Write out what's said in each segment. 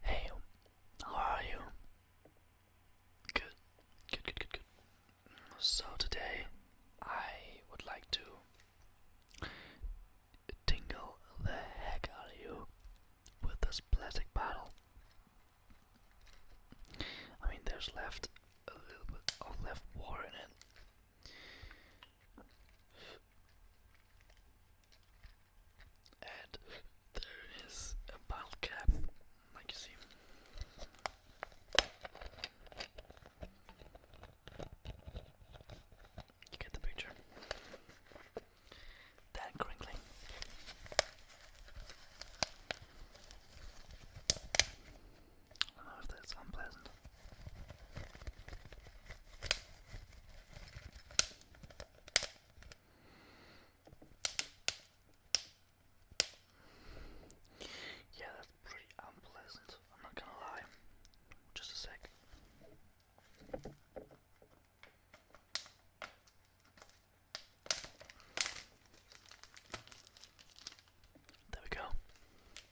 Hey, how are you? Good, good, good, good, good. So today I would like to tingle the heck out of you with this plastic bottle. I mean, there's left a little bit of left water in it and there is a bottle cap, like you see. You get the picture. That crinkling. I don't know if that's unpleasant. Yeah, that's pretty unpleasant, I'm not gonna lie. Just a sec. There we go.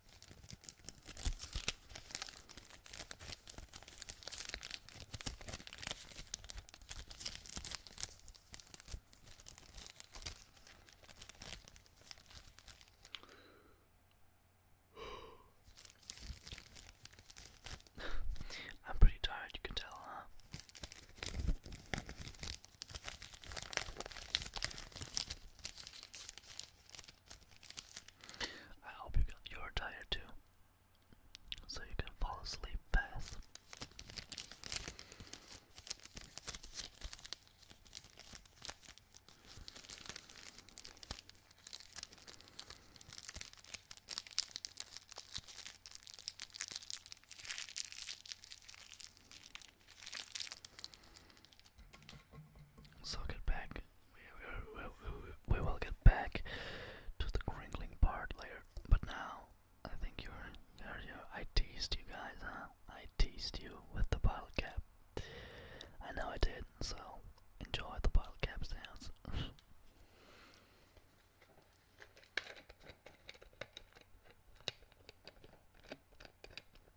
I'm pretty tired, you can tell, huh? I hope you got, you're tired too, so you can fall asleep fast. So get back. We, will get back to the crinkling part later. But now, I think you're, you I teased you guys, huh? I teased you with the bottle cap. I know I did, so enjoy the bottle cap sounds.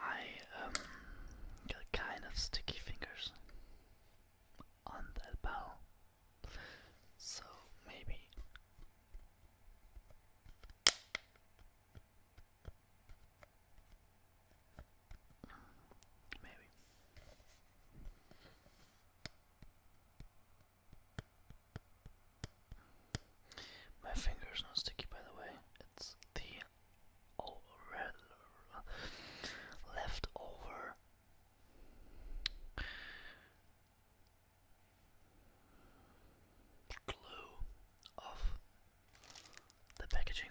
I um, got kind of sticky fingers on that bell, so maybe. Maybe. My finger's not sticky, by the way. It's the oh, leftover glue of the packaging.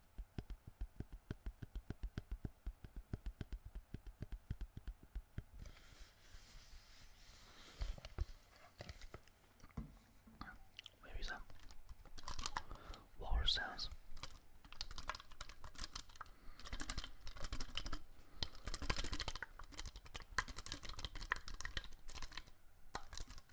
Where is that? Water sounds.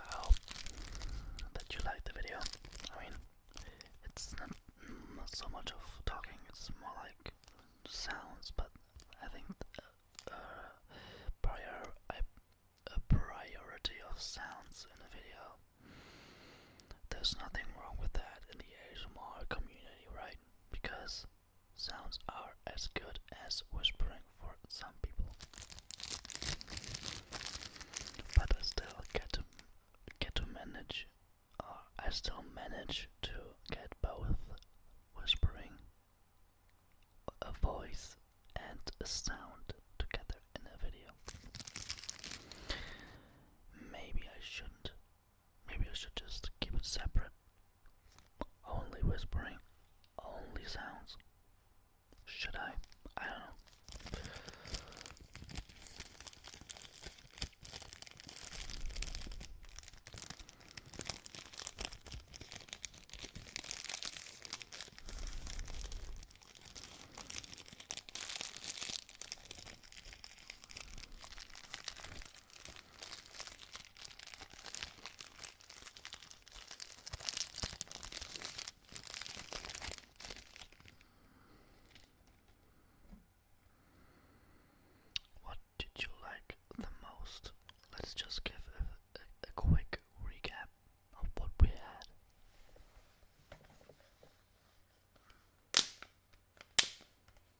I hope that you liked the video. I mean, it's not, so much of talking, it's more like sounds, but I think uh, uh prior, I, a priority of sounds in a video. There's nothing wrong with that in the ASMR community, right? Because Sounds are as good as whispering for some people, but I still get to get to manage, or I still manage to get both whispering, a voice, and a sound together in a video. Maybe I shouldn't. Maybe I should just keep it separate only whispering. Only sounds. Should I? I don't know. What did you like the most? Let's just give a, quick recap of what we had.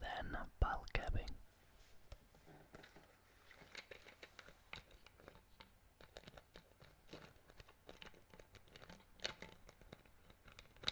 Then ball capping.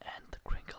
and the crinkle.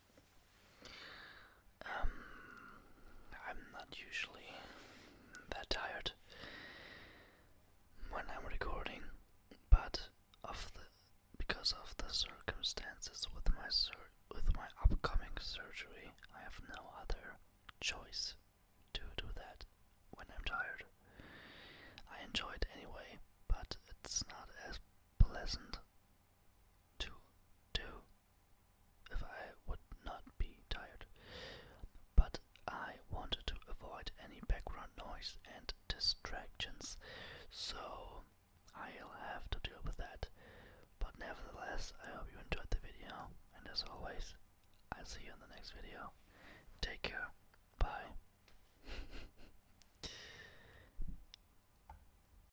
Um, I'm not usually that tired when I'm recording, but of the because of the circumstances with my with my upcoming surgery, I have no other choice to do that when I'm tired. I enjoy it anyway, but it's not as pleasant to do if I would not be tired. But I wanted to avoid any background noise and distractions, so I'll have to deal with that. But nevertheless, I hope you enjoyed the video, and as always, I'll see you in the next video. Take care. Bye.